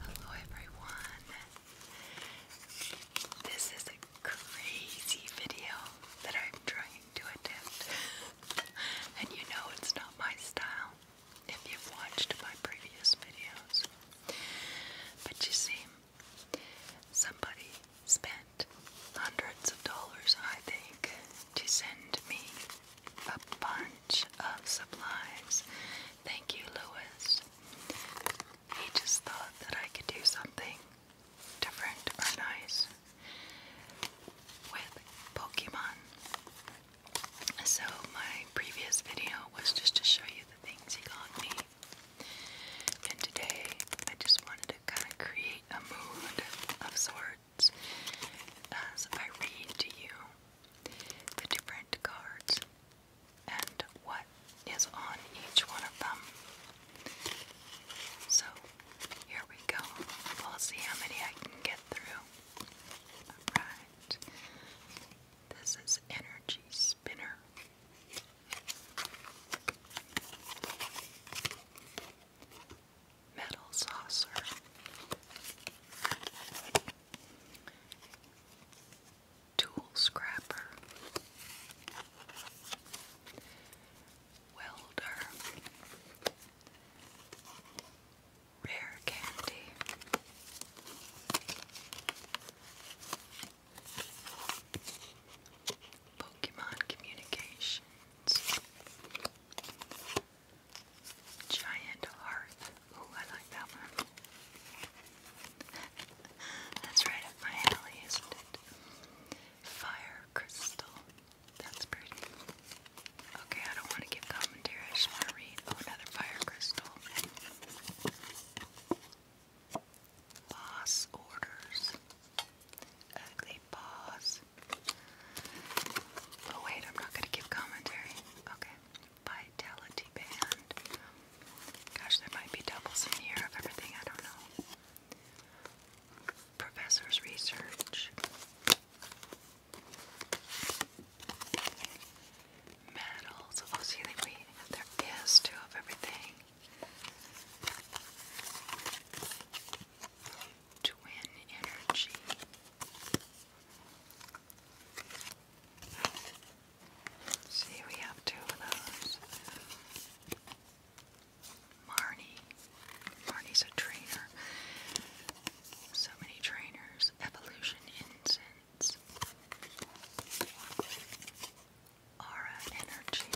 Hello, everyone. This is a crazy video that I'm trying to attempt, and you know it's not my style if you've watched my previous videos. But you see, Somebody spent hundreds of dollars, I think, to send me a bunch of supplies. Thank you, Lewis. He just thought that I could do something different or nice with Pokemon. So, my previous video was just to show you the things he got me. And today I just wanted to kind of create a mood of sorts as I read to you the different cards and what is on each one of them. So here we go. We'll see how many I can get through. Alright. This is Energy Spinner metal saucer. Tool scrapper, welder, rare candy, Pokemon Communications. Giant heart. Ooh, I like that one. That's right up my alley, isn't it? Fire Crystal. That's pretty. Okay, I don't want to give commentary. I just want to read. Oh, another Fire Crystal. Boss orders. Ugly boss. Oh wait, I'm not gonna give commentary. Okay. Vitality band. Gosh, there might be doubles in here of everything, I don't know. Professor's research medals. Oh, see, we have their of everything. Twin energy. See, we have two of those. Marnie. Marnie's a trainer. So many trainers. Evolution inc. Aura Energy,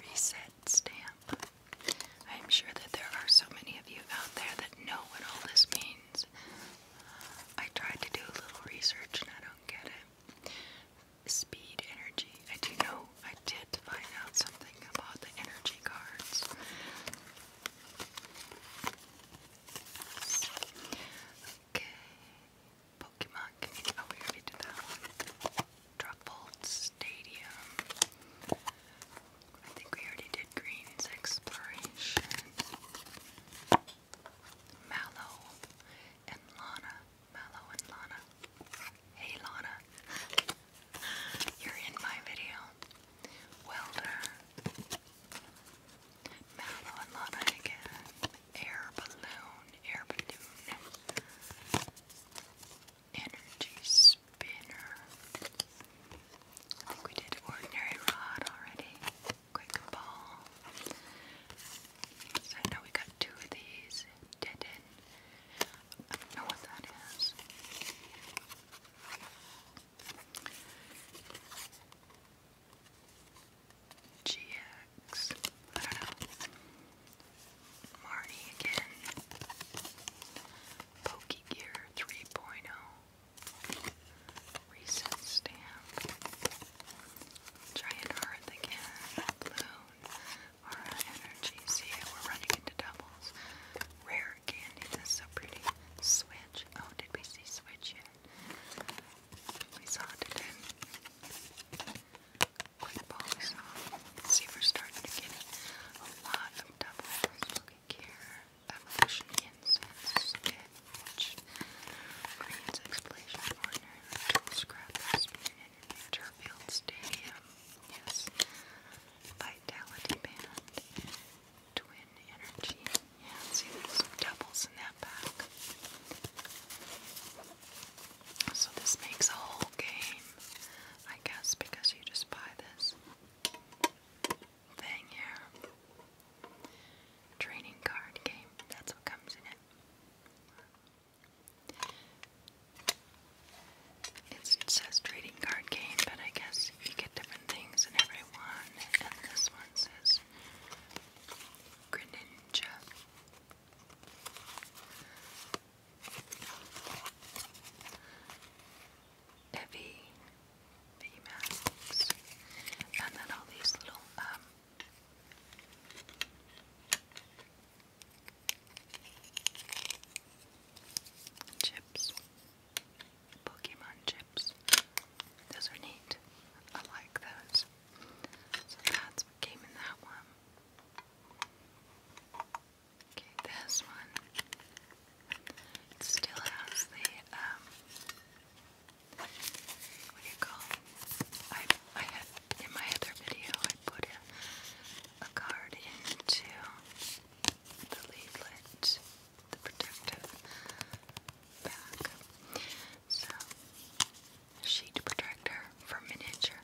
Reset Stamp. I'm sure that there are so many of you out there that know what all this means. I tried to do a little research and I don't get it. Speed energy. I do know I did find out something about the energy cards. Okay. Pokemon Oh, we already did that one. Stadium. I think we already did Green's Exploration. Mallow and Lana. Mallow and Lana. Hey, Lana. You're in my video. Welder, Mallow and Luddite Air Balloon, Air Balloon, Energy Spinner. I think we did Ordinary Rod already, Quick Ball. So now we got two of these, Deaden. not know what that is. GX. I don't know. Marty again. Pokegear 3.0. Recent stamp. Giant Hearth again. Balloon. Aura Energy. See, we're running into doubles. Rare candy. That's so pretty. Switch. Oh, did we see Switch yet? We saw it in. Quick ball saw. See, we're starting to get a lot of double smoking gear evolution incense which Green's Explosion Corner, Tool Scrappers, Turfield Stadium, yes, Vitality Band, twin energy. Yeah, see, there's doubles in that pack. So this makes a whole game, I guess, because you just buy this thing here. Training card game. That's what comes in it. it says trading card game, but I guess you get different things in every and this one says Greninja. Evie, VMAX, and then all these little, um, chips. Pokemon chips. Those are neat. I like those. So that's came in that one. Okay, this one. still has the um what do you call I I had in my other video I put a card into the leaflet the protective back. So, sheet protector for miniature.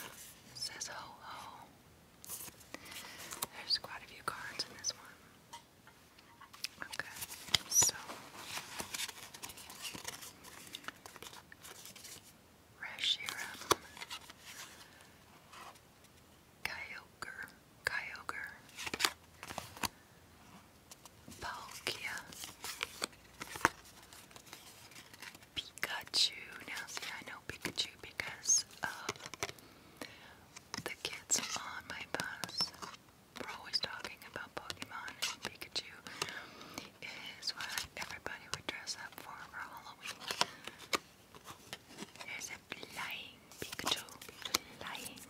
says ho There's quite a few cards in this one. Okay, so Reshiram Kyogre, Kyogre, Palkia, Pikachu. Now, see, I know Pikachu because the kids on my bus. we always talking about Pokemon and Pikachu is what everybody would dress up for for Halloween. There's a blind Pikachu flying.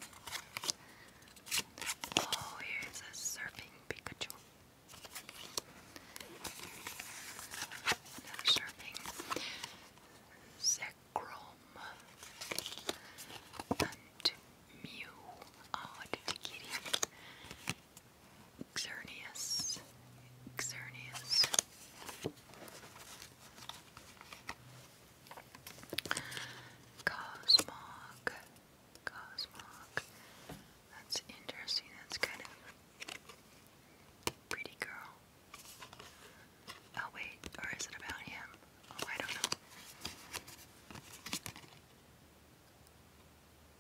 Oh, here's a surfing Pikachu. surfing. Zekrom. And Mew. Oh, did you get it? Cosmog. Cosmog. That's interesting. That's kind of pretty girl. Oh wait, or is it about him? Oh, I don't know.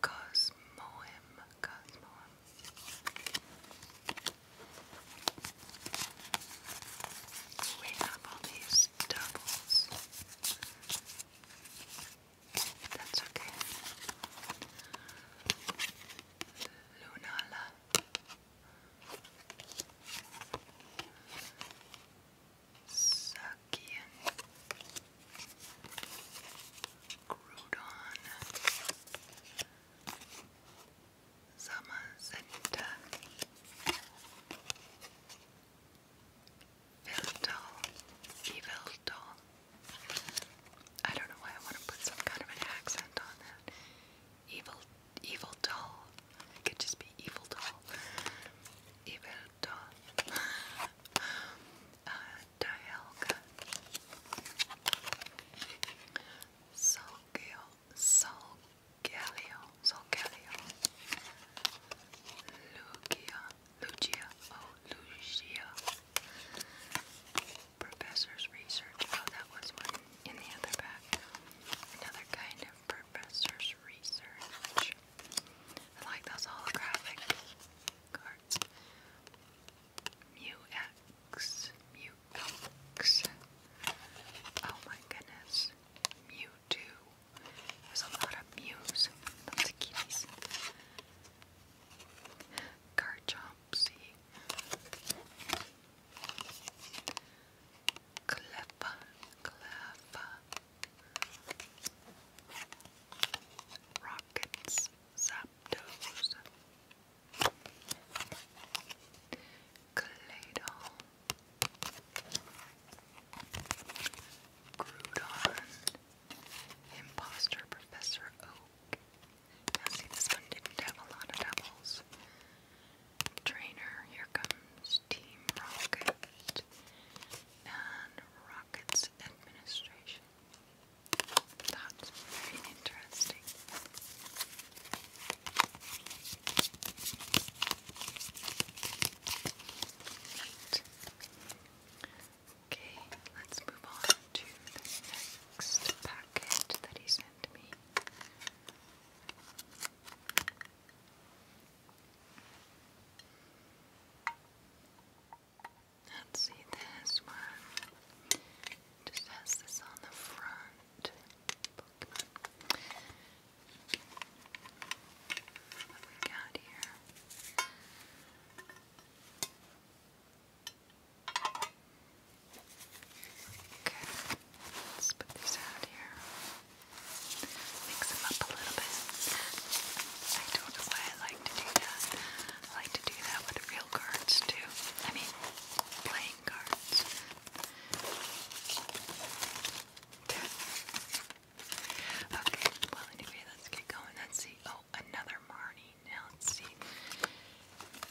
Cosmoem. Cosmoem. We have all these doubles. That's okay. Lunala. Sakian. Groudon. Summer Center Vilto, Evilto. I don't know why I want to put some kind of an accent on that. Evil, evil doll. It could just be evil doll. Evil doll. uh, Dialga. Sogeo. Solgaleo, Solgaleo, Lugia, Lugia, oh Lugia. Professor's research. Oh, that was one in the other back. Another kind of professor's research. I like those holographic cards. Mu X, Mu Elks. Oh my goodness. Mewtwo. There's a lot of Mews. Lots of kitties. Garchomp, Cleffa, Cleffa. Rockets, Zapdos. Claydol, Groudon, Imposter Professor Oak. Now see this one didn't have a lot of doubles. Trainer, here comes Team Rocket and Rocket's Administration. That's very interesting. Right. Okay, let's move on to the next packet that he sent me. Let's see this one. Just has this on the front different Pokemon. let's put these out here. Mix them up a little bit. I don't know why I like to do that. I like to do that with real cards too. I mean, playing cards okay, well anyway, let's get going. Let's see. Oh, another Marnie. let's see.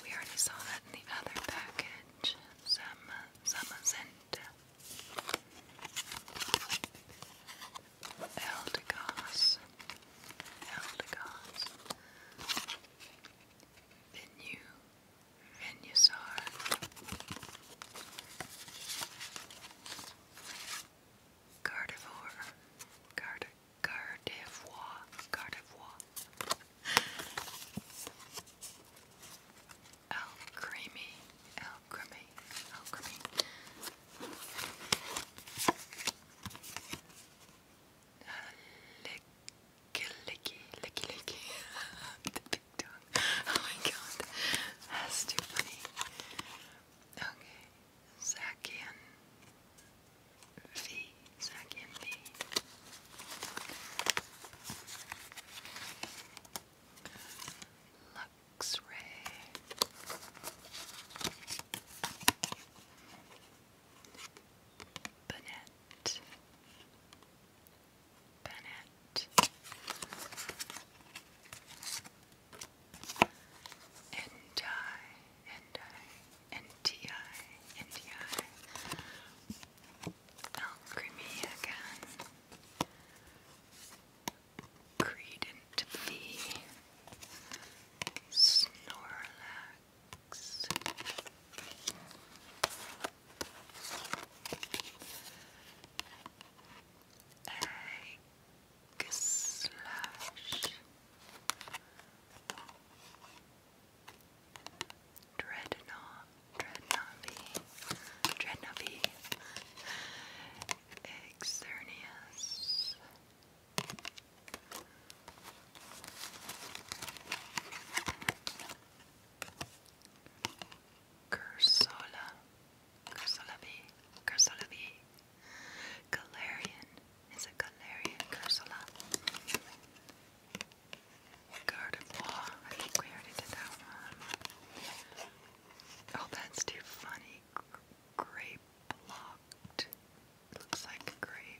We already saw that in the other package. Some uh, some Zenta. Eldegoss. Eldegoss. Then you and you saw her. Gardevoir, Garde, Gardevoir, Gardevoir. Alchemy, licky, licky, licky. the big dog. Oh my god. That's too funny. Okay. Zakian V. Zakian V. Luxray. Bennett. Bennett. And Alchemy again. Credent Snorlax wax. Egg slash dreadnought, dreadnought, Cursola, Cursola B, Galarian, is it Galarian Cursola? Gardevoir, I think we already did that one. Oh, that's too funny. Grape blocked. Looks like gray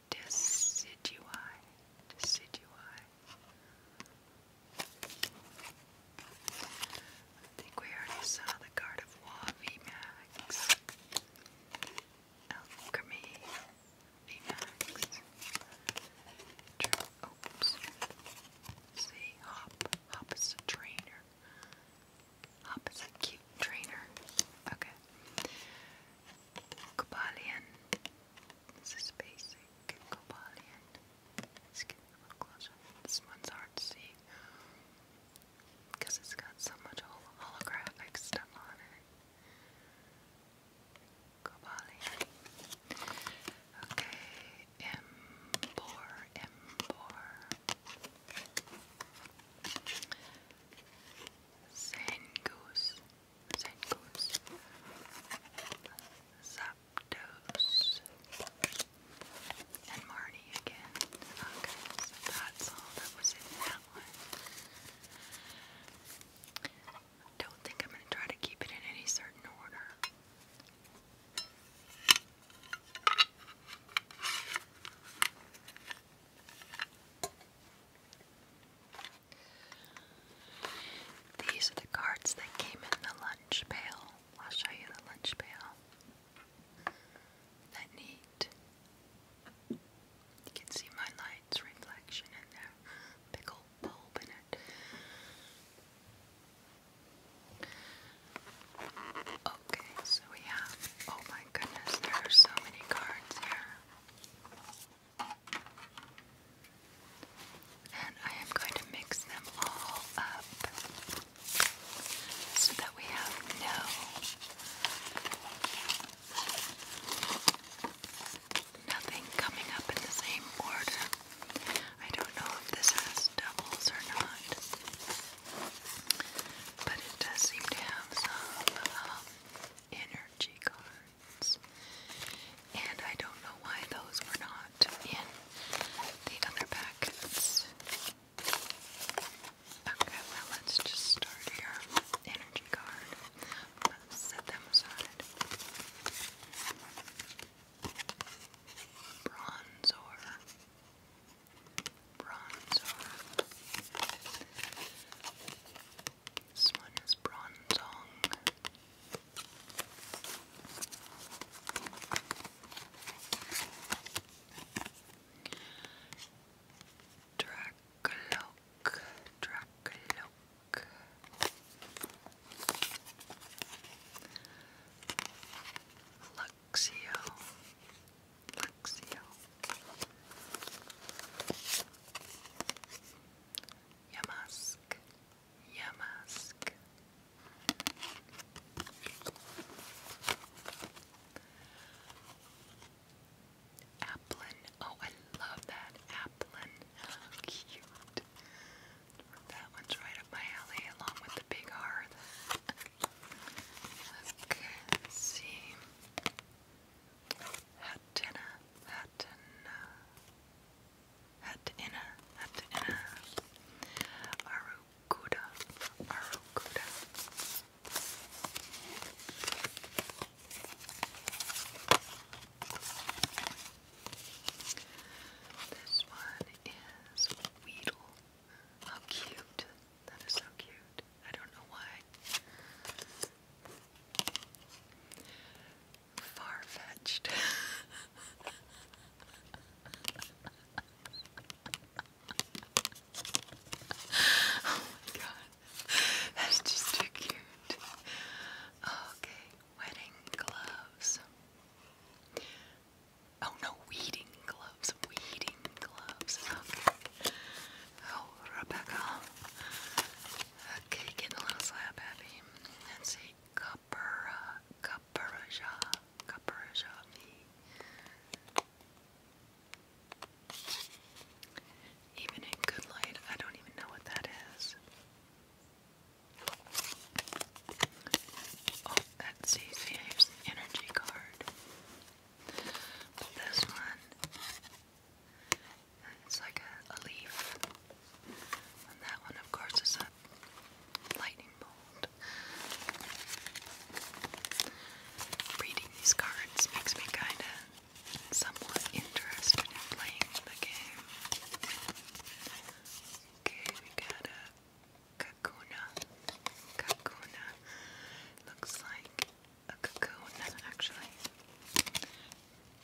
decidui, decidui. I think we already saw the card VMAX, Alchemy VMAX, oops, see, Hop, Hop is a trainer, Hop is a cute trainer. Okay. Cobalion. This is basic. Cobalion. Let's get a little closer. This one's hard to see because it's got so much holographic stuff on it. Cobalion. Okay. Embor. Embor. Zen Goose, Zen and Marty again. Okay, that's all that was in that one. don't think I'm going to try to keep it in any certain order. These are the cards that came in the lunch pail. I'll show you the lunch pail. That neat. You can see my light's reflection in there. Big bulb in it. Okay, so we have. Oh my goodness, there are so many cards here. And I am going to mix them all up so that we have no nothing coming up in the same order. I don't know if this has doubles or not. But it does seem to have some um, energy cards. And I don't know why those were not in the other packets. Okay, well, let's just start here. Energy card. Let's set them aside. Bronzor. Bronzong. This one is Bronzong. Dracloak, Dracloak. Luck Luxio. Luxio. Yamask. Yamask. Applin. Oh, I love that. Applin. How cute. That one's right up my alley along with the big heart. Okay, let's see. Hat inna, hat inna, hat inna, This one is Weedle. How cute. That is so cute. I don't know why. Far fetched. oh my god. That's just too cute. Okay, wedding gloves. Oh no, weeding gloves. Weeding gloves. Oh, Rebecca. Okay, getting a little slap happy. Let's see. Kapura, Even in good light, I don't even know what that is. Oh, that's Save's energy card this one, it's like a, a leaf. And that one, of course, is a lightning bolt. Reading these cards makes me kind of somewhat interested in playing the game. Okay, we got a Kakuna. Kakuna. Looks like a cocoon, actually.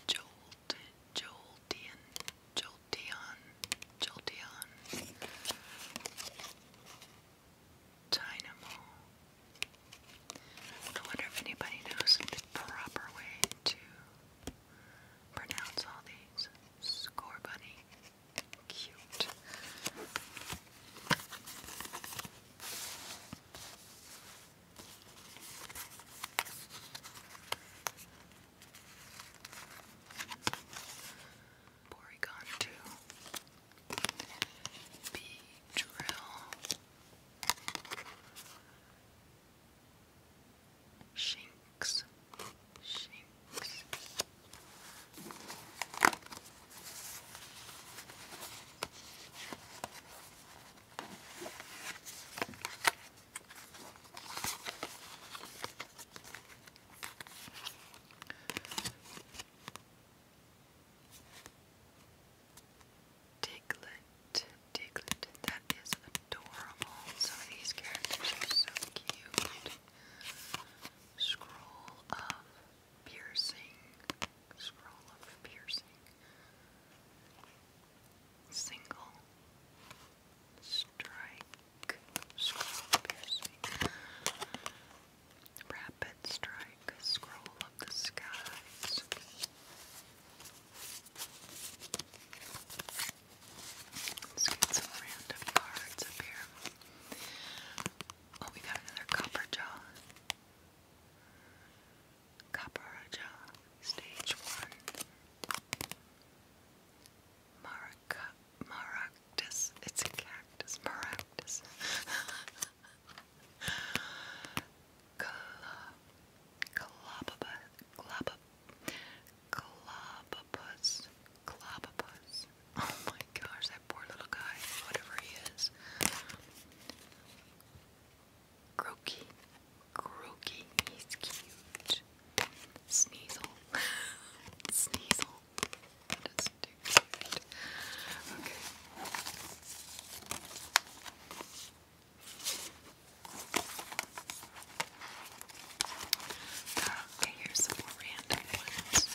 Jolt, Jolteon, Jolteon, Jolteon. Dynamo. I wonder if anybody knows the proper way to pronounce all these. Score bunny cute. Porygon two, B drill, Shinx, Shinx, Diglett, Diglett, that is adorable. Some these characters are so cute. Scroll of piercing, scroll of piercing, single, strike, scroll piercing, rapid strike, scroll of the skies. Let's get some random cards up here. Oh, we got another copper jaw. Copper jaw, stage one. Maraca, maractus. It's a cactus. Maractus. Globopus. Globopus. Globopus. Oh my gosh, that poor little guy, whatever he is. Croaky. Croaky. He's cute. Sneasel. Sneasel. Okay. Okay, uh, here's some more random ones.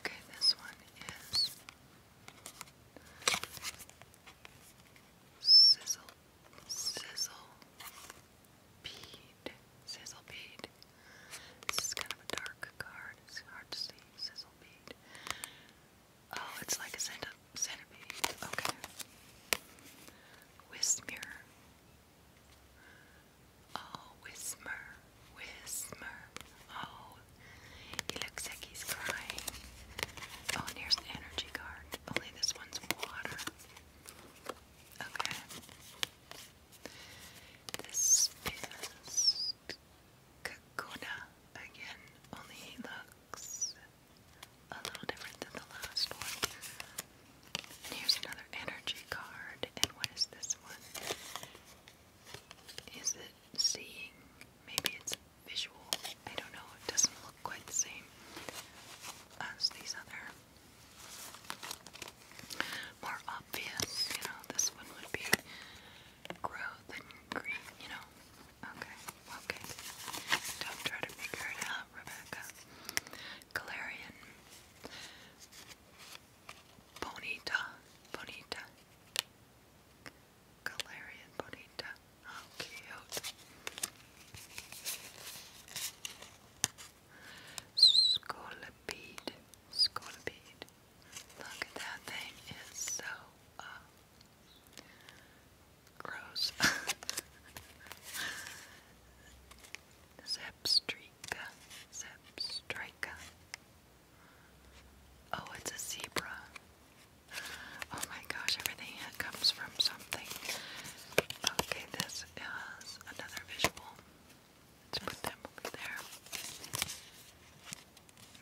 Okay, this one is sizzle, sizzle, bead, sizzle bead. This is kind of a dark card. It's hard to see. Sizzle bead. Oh, it's like a centipede. Okay. Whisk mirror. Oh, whisper, Whismer. Oh, he looks like he's crying. Oh, here's the energy card. Only this one's water. Okay. This is Kakuna again. Only he looks a little different than the last one. And here's another energy card. And what is this one? Is it seeing? Maybe it's visual. I don't know. It doesn't look quite the same as these other more obvious. You know, this one would be growth and green, you know. Okay, okay. Don't try to figure it out, Rebecca. Galarian, Bonita, Bonita, Galarian Bonita. How oh, cute. Look at that thing, it's so, uh, gross. Sepstrica. Sepstrica. Oh, it's a zebra. Oh my gosh, everything comes from something. Okay, this is another visual. Let's put them over there.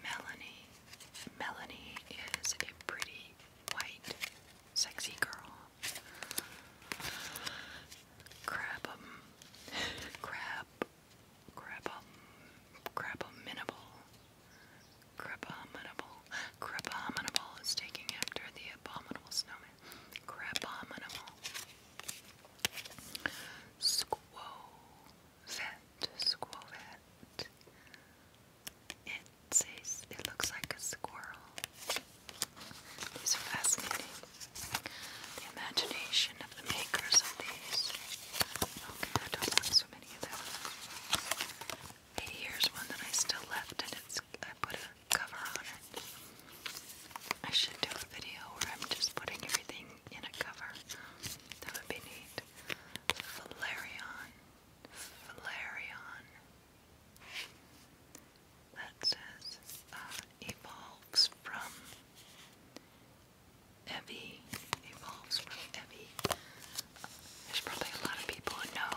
Melanie. Melanie is a pretty, white, sexy girl Crab crab crab um crab minable abominable crab abominable is taking after the abominable snowman crab abominable squovet squovet it says it looks like a squirrel these are fascinating. The imagination of the makers of these. Okay, I don't have so many of them. Hey, here's one that I still left, and it's I put a cover on it. I should do a video where I'm just putting everything in a cover. That would be neat. Valerian. Valerian that says uh, evolves from Evie. Evolves from Evie. There's probably a lot of people who know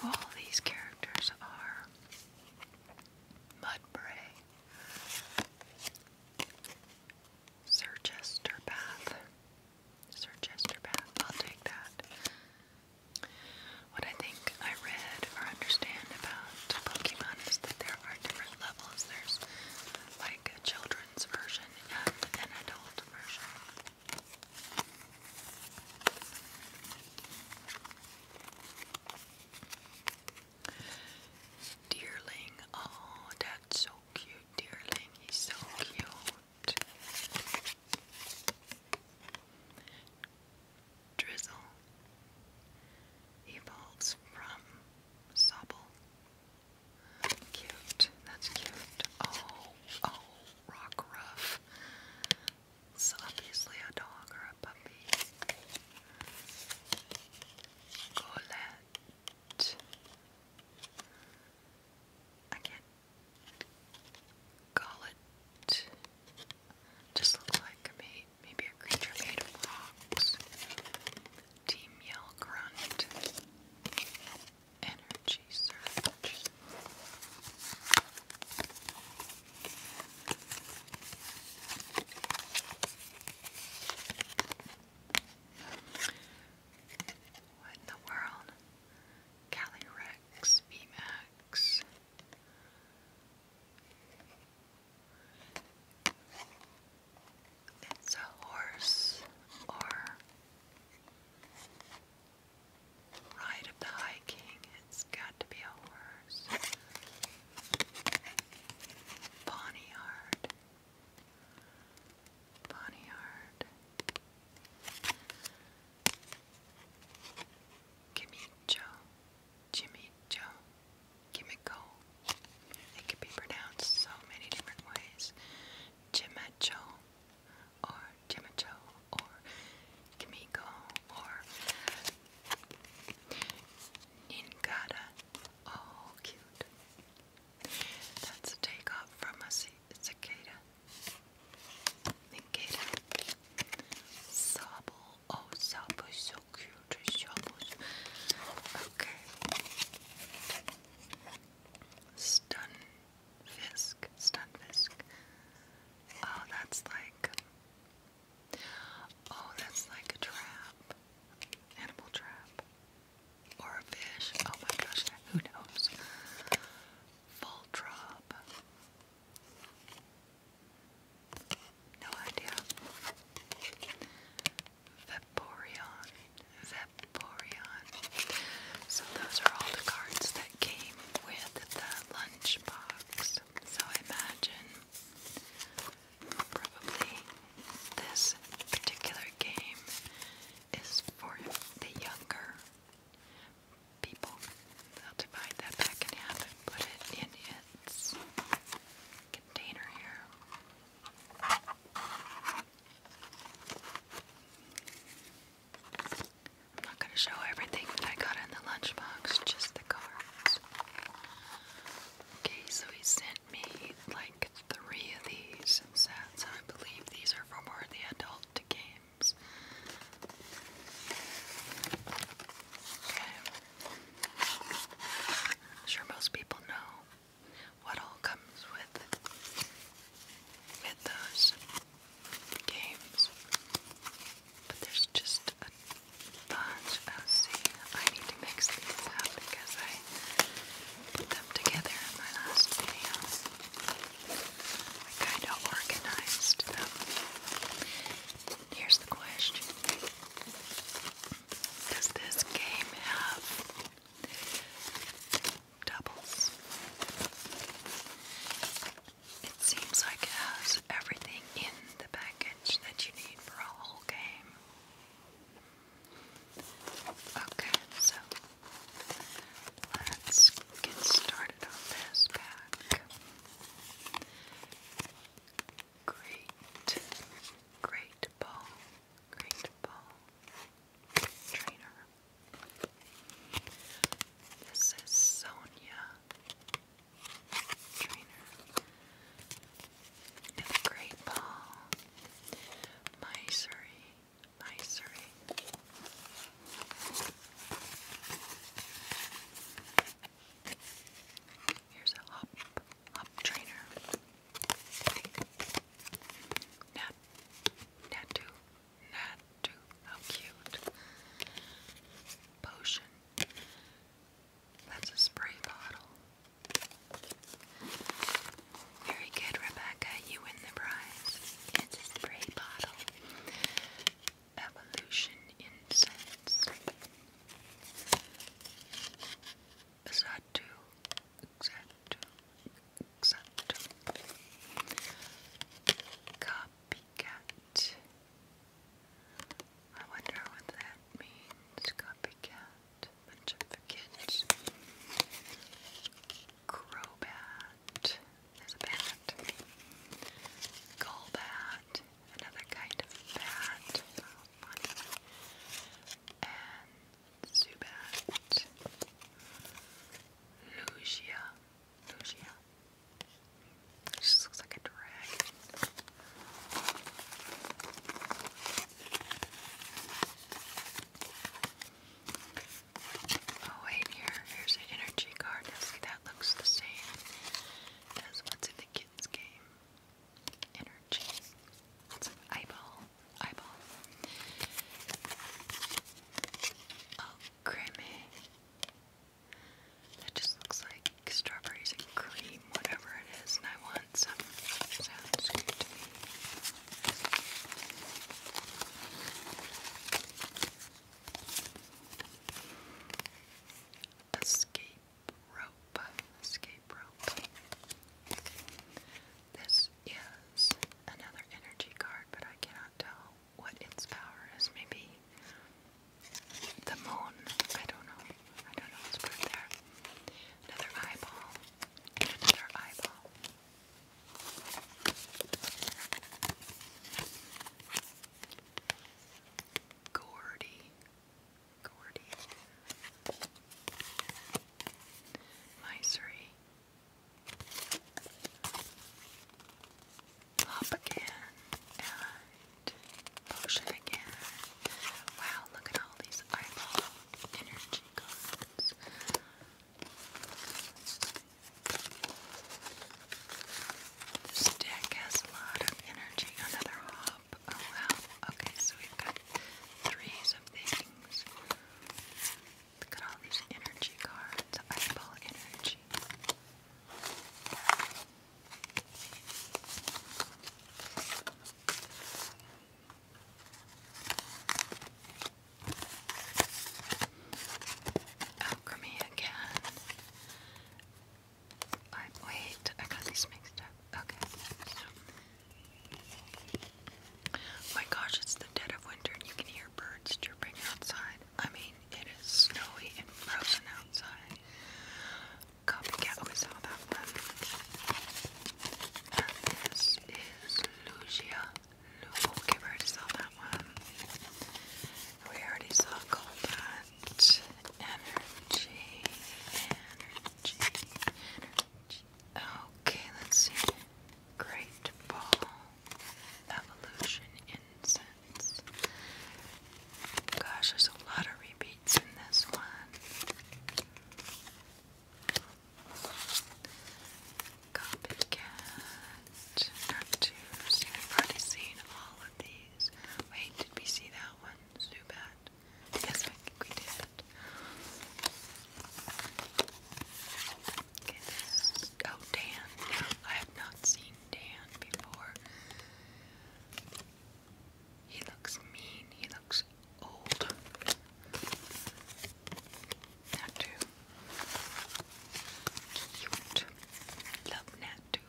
who all these characters are. Mudbray. Sir Chester Sir Chester I'll take that. What I think I read or understand about Pokemon is that there are different levels. There's like a children's version and an adult version. Deerling, oh, that's so cute. Deerling, he's so cute. Drizzle evolves from Sobble. Cute. That's cute. Oh, oh, Rock It's obviously a dog or a puppy. Colette. I call it just look like a maybe a creature made of rocks. Team Yell Grunt. Energy Surge. What in the world? Calyrex, VMAX, it's a horse or ride of the High King. It's got to be a horse. Bonnyard. Bonnyard. Gimme Joe, Jimmy Joe, Gimme Go. It can be pronounced so many different ways. Jimmy Joe, or Jimmy Joe, or Gimme Go, or Ningata. Oh, cute. That's a takeoff from a cicada. Negera. Sabo. Oh, Sabo so cute. Sabo. Okay. Stunfisk. Stunfisk. Oh, that's like. Oh, that's like a trap. Animal trap. Or a fish. Oh my gosh, who knows? Full drop. No idea. Vaporeon. Vaporeon. So those are all the cards that came with the lunchbox. So I imagine probably this particular game is for the younger people. I'll divide that back in half and put it in its container here. I'm not going to show everything that I got in the lunchbox, just the cards. Okay, so he sent me like three of these sets. I believe these are for more of the adult game I'm sure most people know what all comes with with those games. But there's just a bunch of I need to mix these up because I put them together in my last video. I kind of organized Here's the question Does this game have doubles? It seems like it has everything in the package that you need for a whole game. Okay, so let's get started on this pack. Great, great ball, great ball trainer. This is Sonia trainer. great ball, Misery, Misery, Here's a hop, hop trainer. Nat, Natu, Natu, how cute. Potion. That's a spray bottle. Very good, Rebecca. You win the prize. It's a spray bottle evolution incense. Xatu, Xatu, Xatu. Copycat. I wonder what that means. Copycat. Bunch of kids. Crobat. There's a bat. Gullbat. Another kind of bat. And Zubat. Lugia. Lugia. It looks like a dragon. Oh wait, here, here's an energy card. Now see, that looks the same as what's in the kids' game. Energy. It's eyeball. Eyeball. Oh, creamy. That just looks like strawberries and cream, whatever it is, and I want some. Sounds good to me. Escape rope. Escape rope. This is another energy card, but I cannot tell what its power is. Maybe the moon. I don't know. I don't know what's put there. Another eyeball. another eyeball. Gordy. Gordy. Misery. Pop and potion Wow, look at all these eyeball energy cards. This deck has a lot of energy. Another hop. Oh wow. Okay, so we've got threes of things. Look at all these energy cards. Eyeball energy. Alchemy oh, again. wait, I got these mixed Okay. My gosh, it's the dead of winter and you can hear birds chirping outside. I mean, it is snowy and frozen outside. Copycat was all that. And uh, this is Lugia okay, we already saw that one. We already saw combat, energy, energy, energy. Okay, let's see. Great ball, evolution, incense. Gosh, there's a lot of repeats in this one. Copycat, Cartoons. We've already seen all of these. Wait, did we see that one? Zubat. Yes, I think we did. Oh, Dan. I have not seen Dan before. He looks mean. He looks old. Nat Cute. Love Nat too.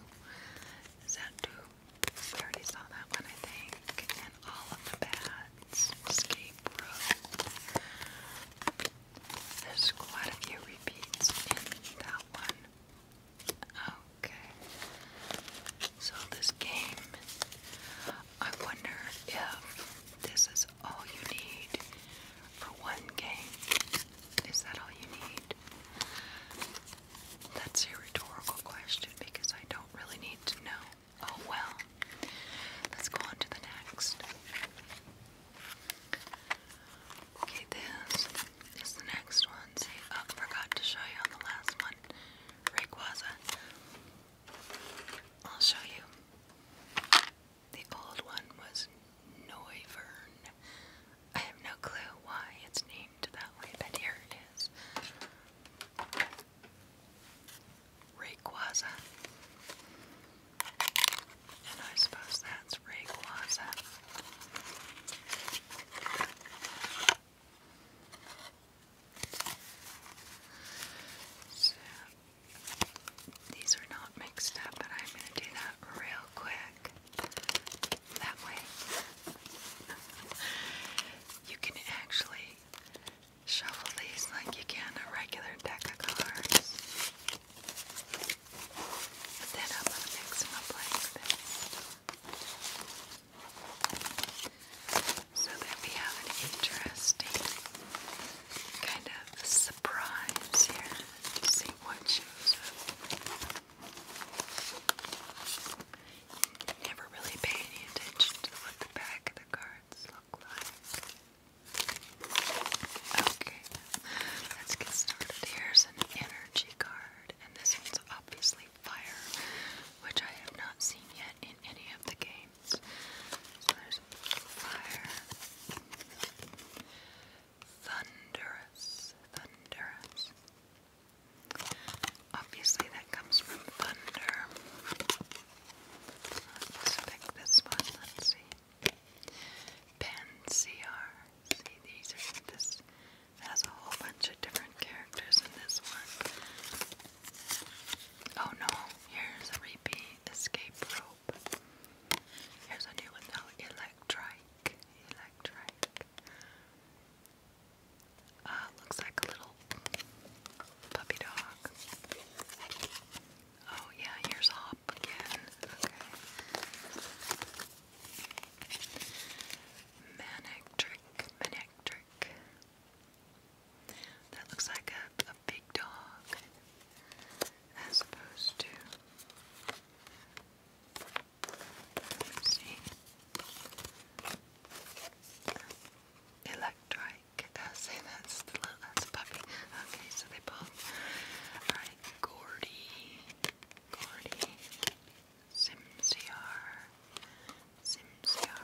Zat already saw that one, I think. And all of the bats. Escape There's quite a few repeats in that one. Okay. So this game. I wonder if this is all you need for one game. Is that all you need? That's a rhetorical question because I don't really need to know. Oh well. Let's go on to the next. Okay, this is next one. See, oh, forgot to show you on the last one. Rayquaza. I'll show you. The old one was Neuvern. I have no clue why it's named that way, but here it is. Rayquaza. And I suppose that's Rayquaza. These are not mixed up, but I'm going to do that real quick. That way, you can actually shuffle these like you can a regular deck of cards. But then I'm going to mix them up like this so that we have interesting kind of surprise here to see what you've Never really pay any attention to what the back of the cards look like. Okay, let's get started. Here's an energy card, and this one's obviously fire, which I have not seen yet in any of the games. So there's fire. Thunderous, thunderous. Obviously, that comes from thunder. Let's see. Pansear. See, these are this has a whole bunch of different characters in this one. Oh no, here's a repeat escape rope. Here's a new one though, Electric. Uh, looks like a little puppy dog. Oh yeah, here's Hop again. Okay. Manic Trick. Manic Trick. That looks like a big dog as opposed to. Let me see. Electric. Uh, say that's the that's puppy. Okay, so they both. Alright, Gordy. Gordy. Simsiar. Simsiar.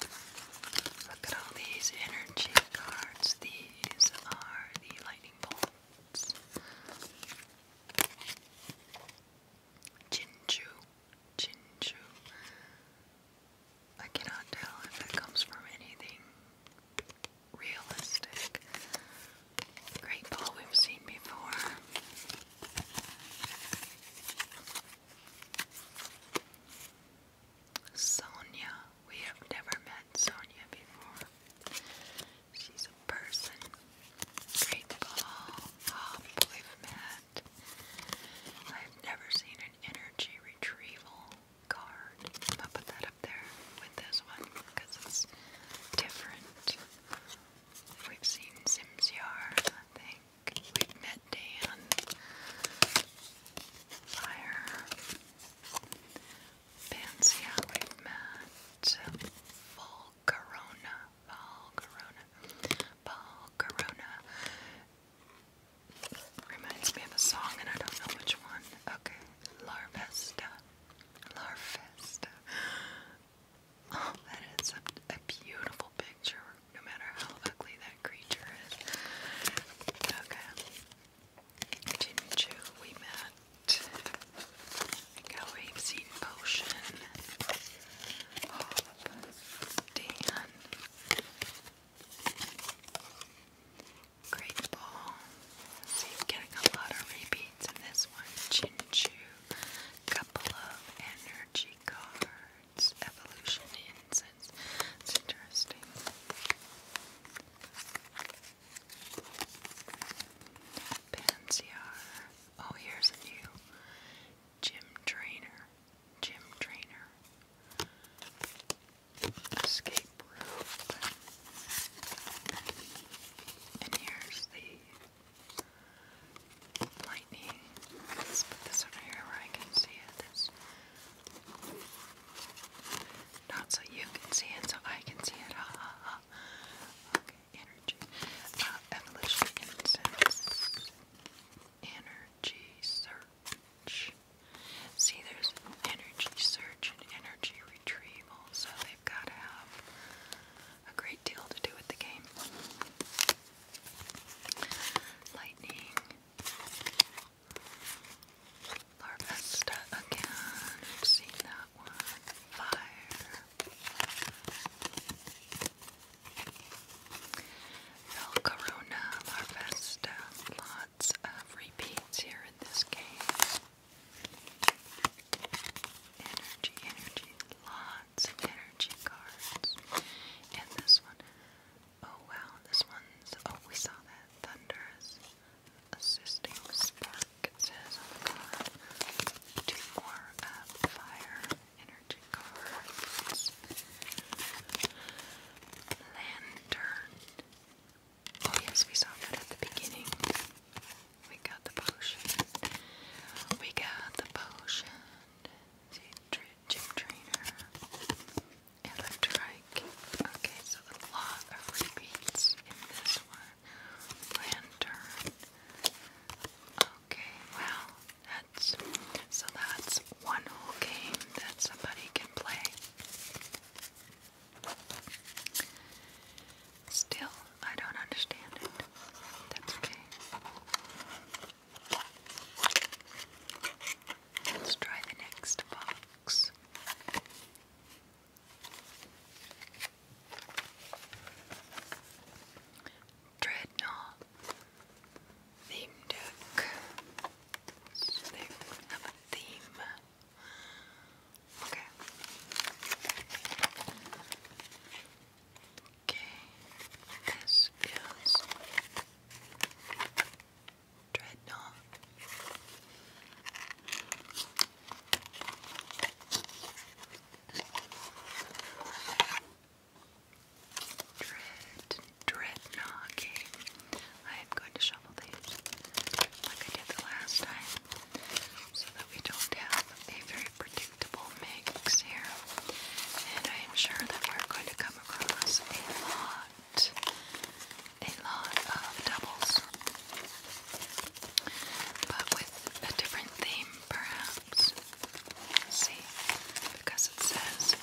Look at all these energy cards. These are the lightning bolts. Jinju. Jinju. I cannot tell if it comes from anything realistic. Great ball we've seen before. Sonia. We have never met Sonia before. She's a person. Great ball. Oh, um, we met. I've never seen an energy retrieval card. I'll put that up there with this one because it's different. We've seen Simsyar, I think. We've met Dan. Fire. Fancy we met. Full Corona. Fall Corona. Fall Corona. Reminds me of a song and I don't know which one. Okay. Larvesta. Larvesta. Oh, that is a beautiful picture no matter how ugly that creature is. Okay. Jinju, we met. Galwave Seed Potion. Hop. Dan. Great Ball. See, getting a lot of repeats in this one. Jinju. Couple of energy cards words evolution incense. It's interesting. Pansiar. Oh, here's a new gym trainer. Gym trainer. Escape room. And here's the lightning. Let's put this over here where I can see it. This. Not so you can see it, so I can see it. Ha ha ha. Okay, energy. Uh, evolution incense. Energy search. See, there's energy search and energy retrieval, so they've got to have a great deal to do with the game. Lightning. Larvesta again. I've seen that one. Fire. Velcarona, Larvesta. Lots of repeats here in this game. Energy, energy, lots lots energy cards. And this one, oh wow, this one's, oh, we saw that. Thunderous Assisting Spark, it says Two more fire energy cards. Lantern. Oh, yes, we saw that at the beginning. We got the potion. We got the potion. See, true gym trainer, and Okay, so a lot of repeats in this one. Lantern. Okay, well, that's so that's one whole game that somebody can play. Still, I don't understand it. That's okay. Let's try the next box. Dreadnought theme deck. So they have a theme. Okay. Okay, this is Dreadnought. Dread, Dreadnought. Okay, I am going to shuffle these like I did the last time so that we don't have a very predictable mix here, and I am sure that we're going to come across a lot, a lot of doubles, but with a different theme, perhaps. See, because it says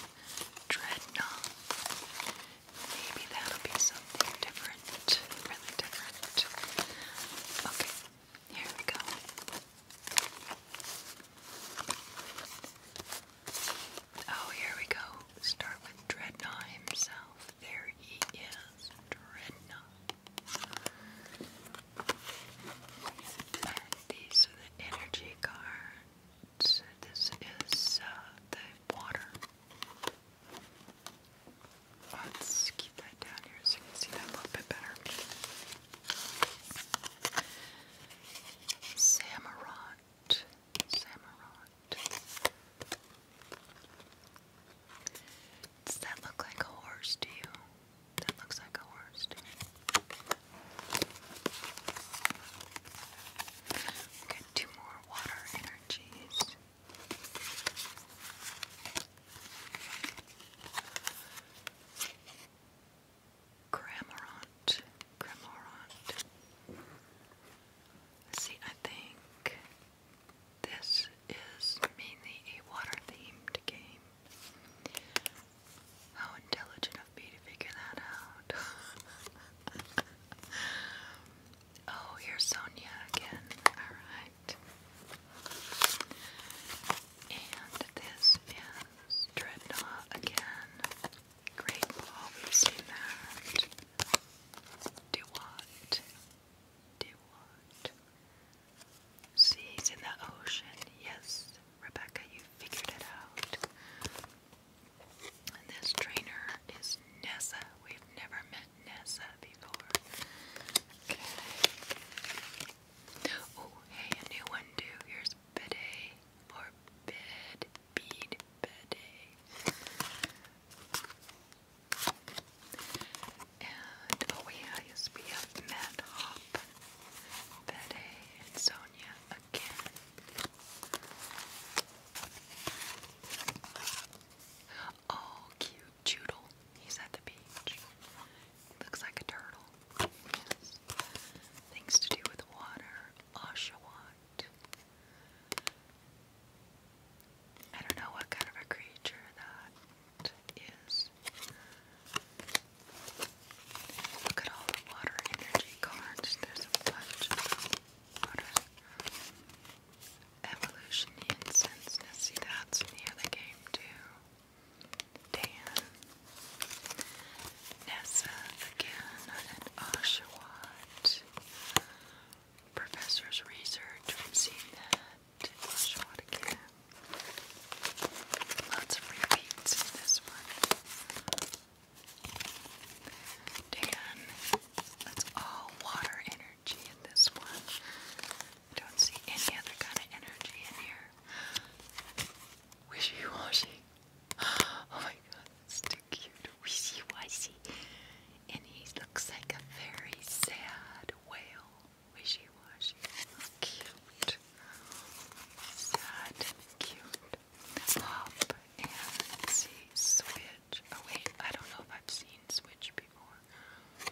dreadnought. Maybe that'll be something different, really different. Okay, here we go. Oh, here we go. Start with Dreadnought himself. There he is, Dreadnought. these are the energy cards. This is uh, the water. Let's keep that down here so you can see that a little bit better. Samurott. Does that look like a horse to you? That looks like a horse get two more water energies. Cramorant. See, I think this is mainly a water themed game. How intelligent of me to figure that out. oh, here's Sonia again. Alright. And this is Dreadnought again. Great Wall, we've seen that. in the ocean. Yes, Rebecca, you figured it out. And this trainer is Nessa. We've never met Nessa before. Oh, hey, a new one, too. Here's is bidet or bed, bead, bidet. And oh yeah, yes, we Matt Hop, Betty, and Sonia again. Oh, cute Judel. He's at the beach. Looks like a turtle. Things to do with water. Oshawott. I don't know what kind of a creature that is. Look at all the water energy cards. There's a bunch Evolution incense. see that's near the game too. Dan, Nessa again, and Oshawott. Professor's research, seen that. Oshawott again. Lots of repeats in this one. Dan, that's all water energy in this one. don't see any other kind of energy in here wishy-washy. Oh my god, that's too cute. Wishy-washy. And he looks like a very sad whale. Wishy-washy. Cute. Sad cute. Up and see Switch. Oh wait, I don't know if I've seen Switch before.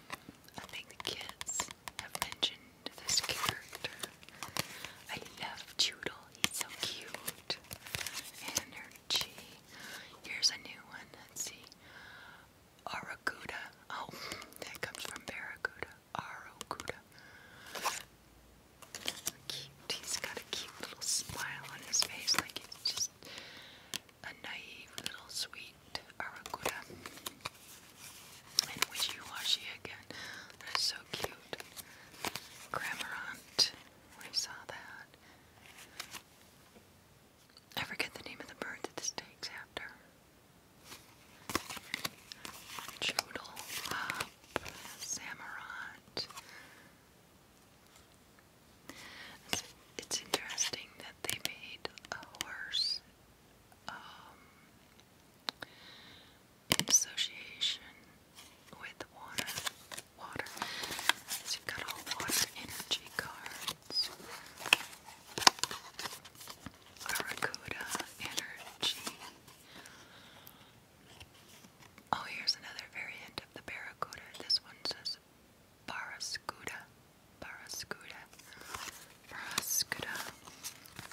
I think the kids have mentioned this character. I love Toodle, he's so cute. Energy. Here's a new one, let's see. Aracuda. Oh, that comes from Barracuda. Aracuda. Cute. He's got a cute little smile on his face, like it's just a naive little sweet Aracuda. And wishy-washy again. That's so cute. Cramorant. We saw that. I forget the name of the bird that this takes after. Joodle Pop. Samurant. It's, interesting that they made a horse um, in association with water. Water. So you've got all water energy cards. Aracuda energy. Oh, here's another variant of the Barracuda. This one says Barrascuda. Barrascuda. Frascura.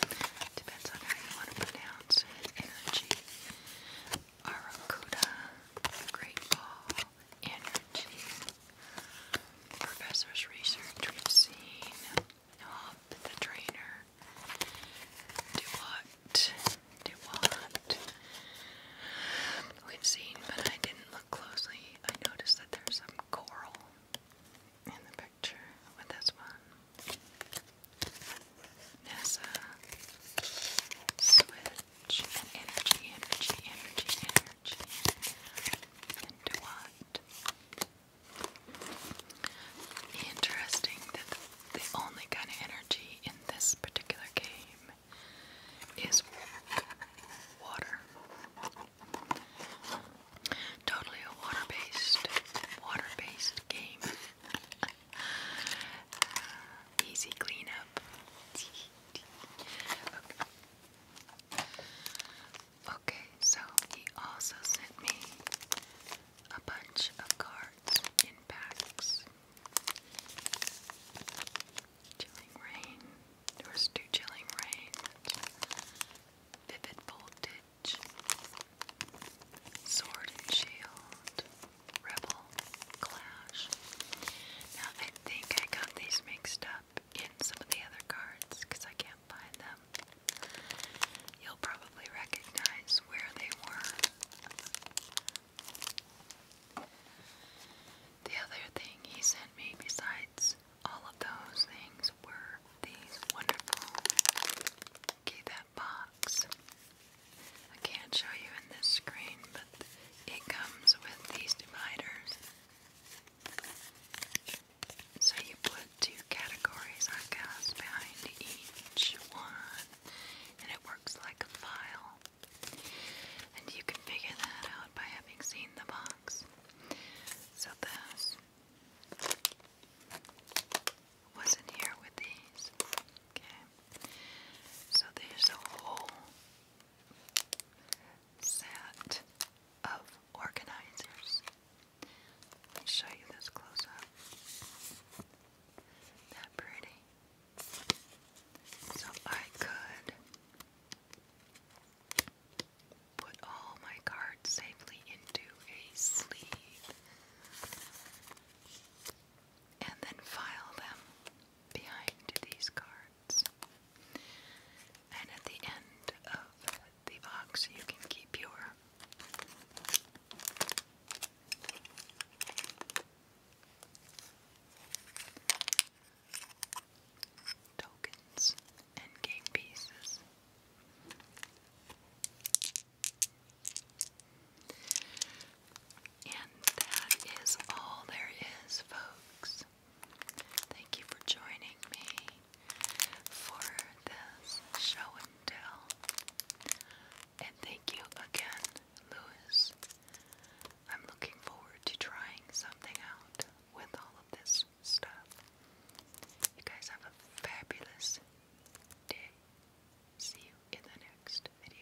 Uh, depends on how you want to pronounce Energy. Aracuda. Great Ball. Energy. Professor's research we've seen. Hop the trainer. Do what? Do what? We've seen, but I didn't look closely. I noticed that there's some coral in the picture with this one. There's switch energy, energy, energy, energy. Into what? Interesting that the only kind of energy in this particular game is water. Totally a water-based, water-based game. easy cleanup. okay. so he also sent me a bunch of cards in packs. Chilling rain. There was two chilling rain. Vivid voltage. Sword and Shield, Rebel, Clash. Now I think I got these mixed up in some of the other cards because I can't find them. You'll probably recognize where they were. The other thing he sent me, besides all of those things were these wonderful that box. I can't show you in this screen, but it comes with these dividers. So you put two categories, I guess, behind each one, and it works like a file. And you can figure that out by having seen the box. So this wasn't here with these. Okay. So there's a whole set of organizers. Let me show you this close up. That pretty. So I could put all my cards safely into a sleeve and then file them behind these cards. And at the end of the box, you can keep your tokens and pieces. And that is all there is, folks. Thank you for joining me for this show and tell. And thank you again, Lewis. I'm looking forward to trying something out with all of this this You guys have a fabulous day. See you in the next video.